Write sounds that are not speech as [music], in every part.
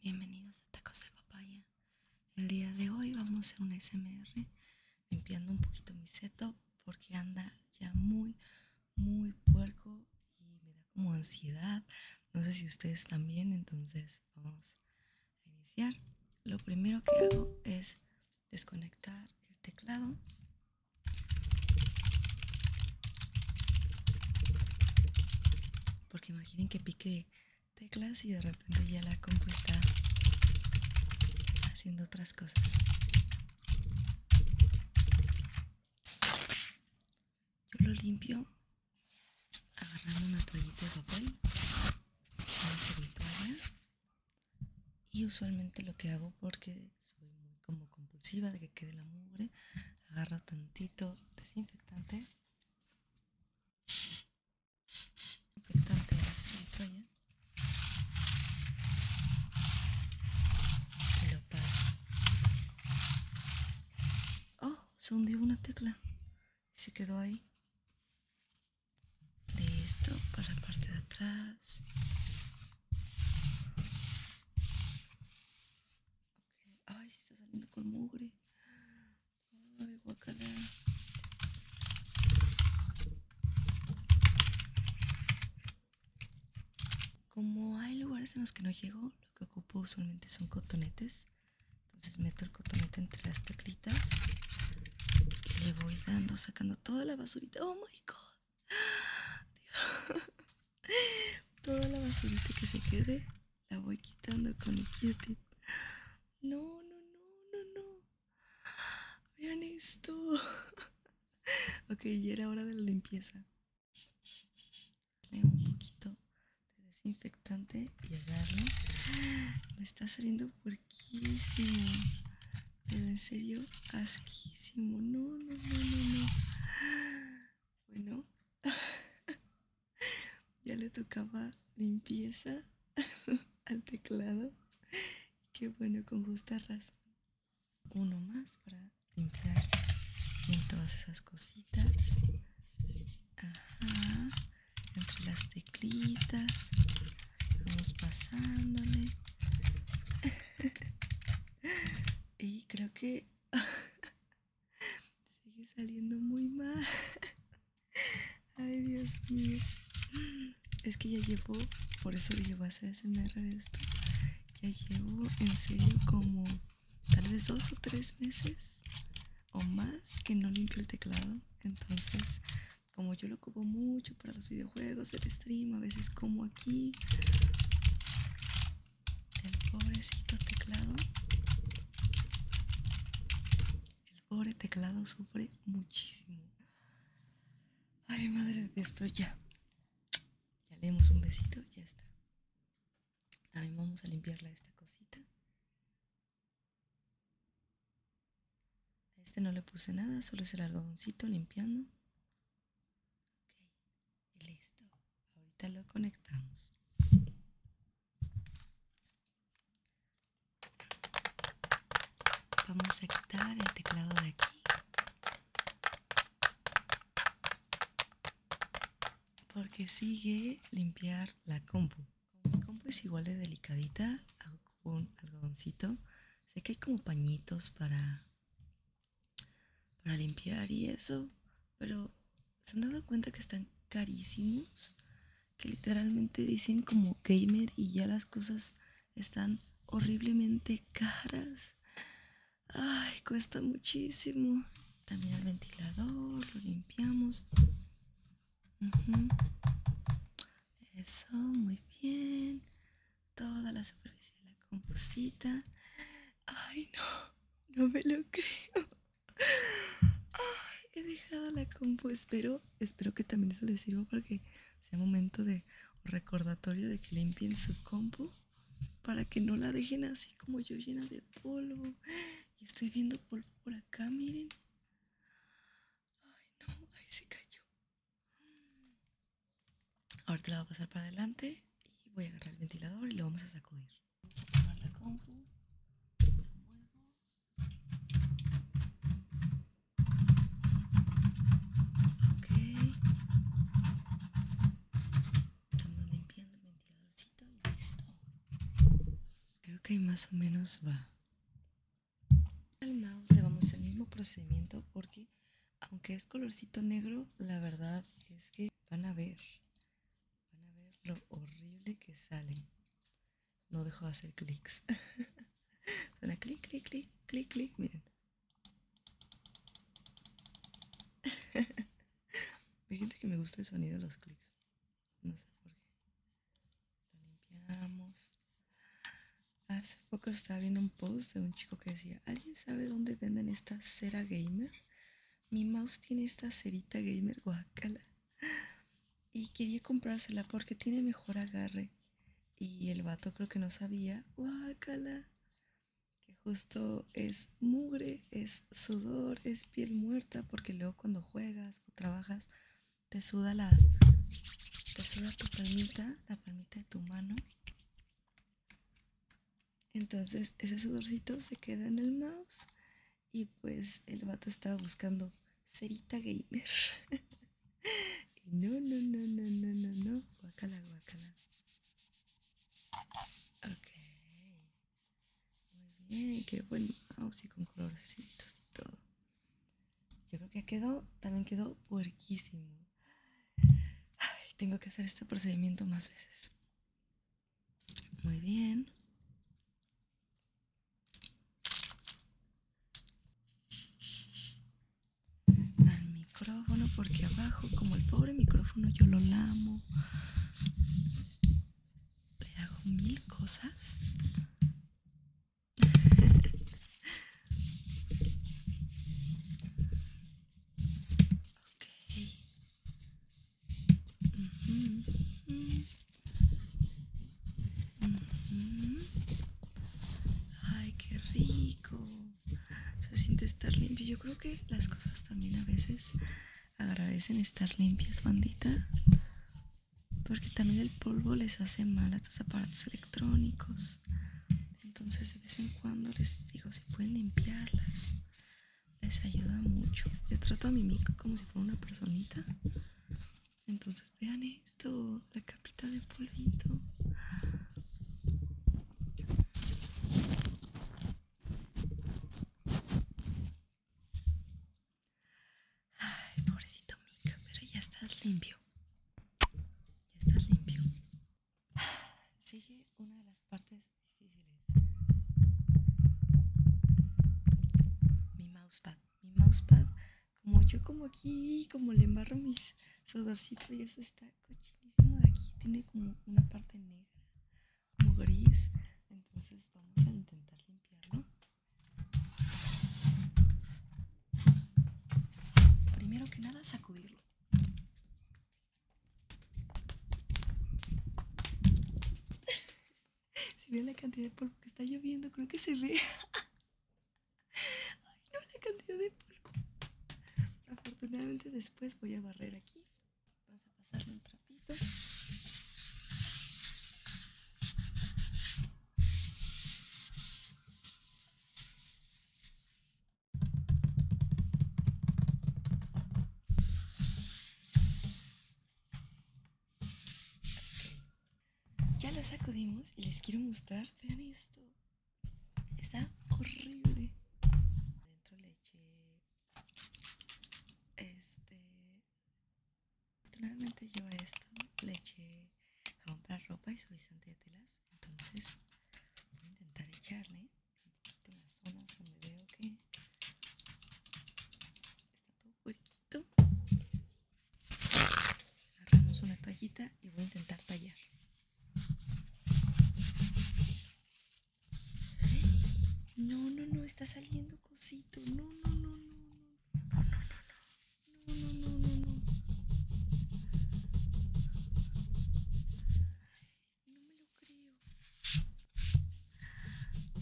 bienvenidos a Tacos de Papaya. El día de hoy vamos a hacer un SMR limpiando un poquito mi seto porque anda ya muy, muy puerco y me da como ansiedad. No sé si ustedes también, entonces vamos a iniciar. Lo primero que hago es desconectar el teclado. Porque imaginen que pique teclas y de repente ya la compu haciendo otras cosas. Yo lo limpio agarrando una toallita de papel, una toalla y usualmente lo que hago porque soy muy como compulsiva de que quede la mugre, agarro tantito desinfectante lo paso. Oh, se hundió una tecla y se quedó ahí. Listo, para la parte de atrás. Ay, se está saliendo con mugre. Ay, guacala. Como hay lugares en los que no llego, lo que ocupo usualmente son cotonetes. Entonces meto el cotonete entre las teclitas y le voy dando, sacando toda la basurita. ¡Oh, my God! [laughs] [laughs] Toda la basurita que se quede la voy quitando con el Q-tip. No, no, no, no, no. Vean esto. [laughs] ok, ya era hora de la limpieza. Le un poquito de desinfectante y agarro. Me está saliendo puerquísimo. Pero en serio, asquísimo. No, no, no, no, no. Bueno, [laughs] ya le tocaba limpieza [laughs] al teclado. Qué bueno, con justa razón. Uno más para limpiar en todas esas cositas. Entre las teclitas. Vamos pasándole. [laughs] y creo que Sigue saliendo muy mal. [laughs] Ay, Dios mío. Es que ya llevo, por eso yo ese a de esto. Ya llevo en serio como tal vez dos o tres meses o más que no limpio el teclado. Entonces, como yo lo ocupo mucho para los videojuegos, el stream, a veces como aquí el pobrecito teclado el pobre teclado sufre muchísimo ay madre de Dios pero ya le damos un besito ya está también vamos a limpiarla esta cosita a este no le puse nada solo es el algodoncito limpiando y listo. Ahorita lo conectamos. Vamos a quitar el teclado de aquí. Porque sigue limpiar la compu. compu es igual de delicadita, hago un algodoncito. Sé que hay como pañitos para para limpiar y eso, pero se han dado cuenta que están carísimos, que literalmente dicen como gamer y ya las cosas están horriblemente caras. Ay, cuesta muchísimo. También el ventilador, lo limpiamos. Eso, muy bien. Toda la superficie de la composita. Ay, no, no me lo creo. Ay, he dejado la compu. Espero, espero que también eso les sirva para que sea momento de recordatorio de que limpien su compu para que no la dejen así como yo llena de polvo. Y estoy viendo polvo por acá, miren. Ay, no, ahí se cayó. Ahorita la voy a pasar para adelante y voy a agarrar el ventilador y lo vamos a sacudir. Vamos a tomar la compu. Ok. Estamos limpiando el ventiladorcito y listo. Creo que más o menos va. Al mouse le vamos el mismo procedimiento porque aunque es colorcito negro, la verdad es que van a ver Van a ver lo horrible que salen. No dejo de hacer clics. [laughs] Suena clic, clic, clic, clic, clic. Miren. [laughs] Hay gente que me gusta el sonido de los clics. No sé por qué. Lo limpiamos. Hace poco estaba viendo un post de un chico que decía, ¿alguien sabe dónde venden esta cera gamer? Mi mouse tiene esta cerita gamer guacala. Y quería comprársela porque tiene mejor agarre. Y el vato creo que no sabía. Guacala. Que justo es mugre, es sudor, es piel muerta. Porque luego cuando juegas o trabajas te suda la... Te suda tu palmita, la palmita de tu mano. Entonces ese sudorcito se queda en el mouse y pues el vato estaba buscando cerita gamer. [laughs] y no, no, no, no, no, no, no. Guacala, guacala. Ok. Muy bien, qué buen mouse y con colorcitos y todo. Yo creo que quedó, también quedó puerquísimo. Ay, tengo que hacer este procedimiento más veces. Muy bien. Al micrófono porque abajo, como el pobre micrófono, yo lo lamo. Le hago mil cosas. [laughs] ok. Ay, qué rico. Se siente estar limpio. Yo creo que las cosas también a veces agradecen estar limpias, bandita. Porque también el polvo les hace mal a tus aparatos electrónicos. Entonces de vez en cuando les digo si pueden limpiarlas les ayuda mucho. Yo trato a mi Mika como si fuera una personita. Entonces vean esto, la capita de polvito. Ay, pobrecito Mika, pero ya estás limpio. Ya estás limpio. [sighs] Sigue una de las partes difíciles. Mi mousepad. Mi mousepad, como yo como aquí, como le embarro mis sudorcito y eso está cochilísimo de aquí. Tiene como una parte negra, como gris. Entonces vamos a intentar limpiarlo. Primero que nada, sacudirlo. [laughs] Si ve la cantidad de polvo que está lloviendo, creo que se ve. [laughs] Ay, no, la cantidad de polvo. Afortunadamente después voy a barrer aquí. Vamos a pasarle un trapito. Ya lo sacudimos y les quiero mostrar. Vean esto. Está horrible. Dentro le eché. Este. Afortunadamente yo esto le eché ropa y suavizante de telas. Entonces voy a intentar echarle las zonas que está todo agarramos una toallita y voy a intentar tallar no no no está saliendo cosito no no no no no no no no no no no no no no me lo creo. No,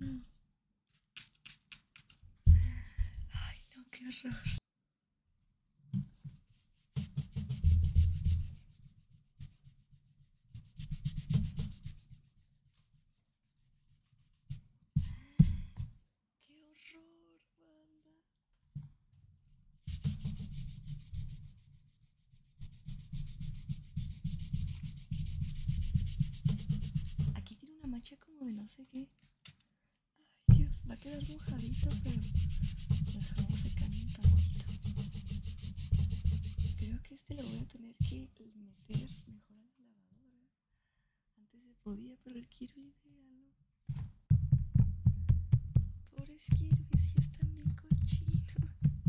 no, no. Ay, no, qué horror. ¡Qué horror, banda! Aquí tiene una mancha como de no sé qué. Ay, Dios, va a quedar mojadito, pero dejamos secar un tantito. Creo que este lo voy a tener que meter mejor la lavadora. ¿eh? Antes se podía, pero el Kirby, véalo. Pobres Kirby, si están bien cochinos. No.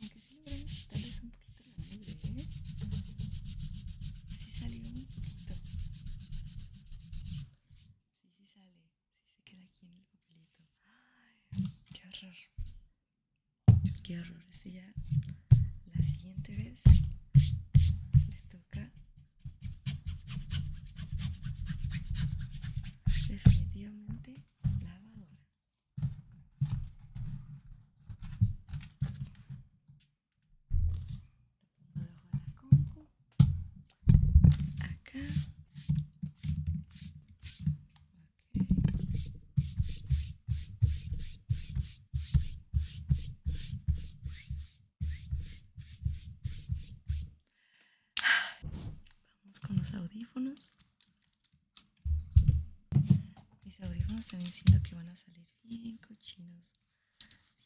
Aunque sí logramos quitarles un poquito la madre, ¿eh? Sí salió un poquito. Sí, sí sale se queda aquí en el papelito. Ay, qué horror. Qué horror. Este ya la siguiente vez le toca definitivamente lavadora lo dejo la acá vamos con los audífonos mis audífonos también siento que van a salir bien cochinos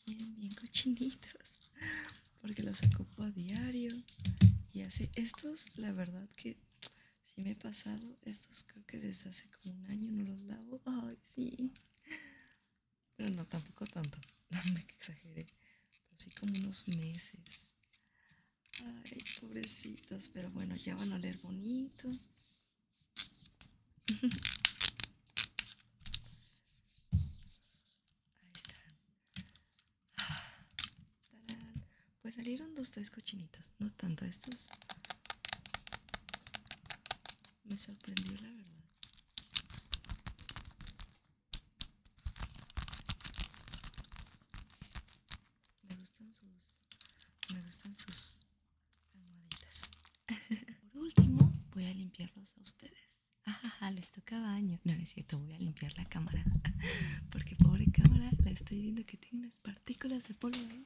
bien, bien cochinitos, porque los ocupo a diario y hace Estos, la verdad que si me he pasado, estos creo que desde hace como un año no los lavo. Ay, sí, pero no tampoco tanto, Dame [laughs] que exageré, pero sí como unos meses. Ay, pobrecitos, pero bueno, ya van a oler bonito. [laughs] Ahí está. Pues salieron dos, tres cochinitos. No tanto estos. Me sorprendió la verdad. Me gustan sus... Me gustan sus almohaditas. [laughs] Por último, voy a limpiarlos a ustedes. Pues, ajá, les toca baño. No, necesito, es cierto, voy a limpiar la cámara. [laughs] Porque pobre cámara, la estoy viendo que tiene unas partículas de polvo. ¿eh?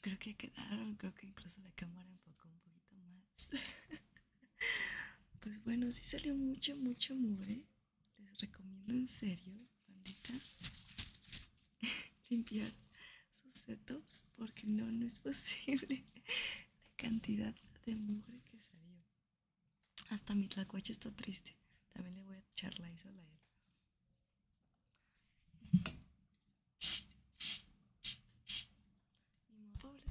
Creo que quedaron, creo que incluso la cámara poco un poquito más. [laughs] Pues bueno, si salió mucho, mucho mueve, ¿eh? Les recomiendo en serio, bandita, [laughs] limpiar sus setups porque no, no es posible la cantidad de mugre que salió. Hasta mi tlacuache está triste. También le voy a echar la isola a él. Pobre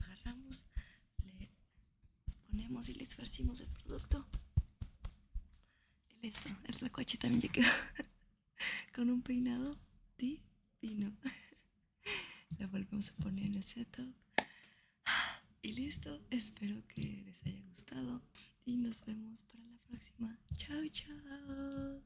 Agarramos le ponemos y le esparcimos el producto. Y listo, la coche también ya quedó [laughs] con un peinado divino. La [laughs] volvemos a poner en el setup. Y listo, espero que les haya gustado y nos vemos para la próxima. Chao, chao.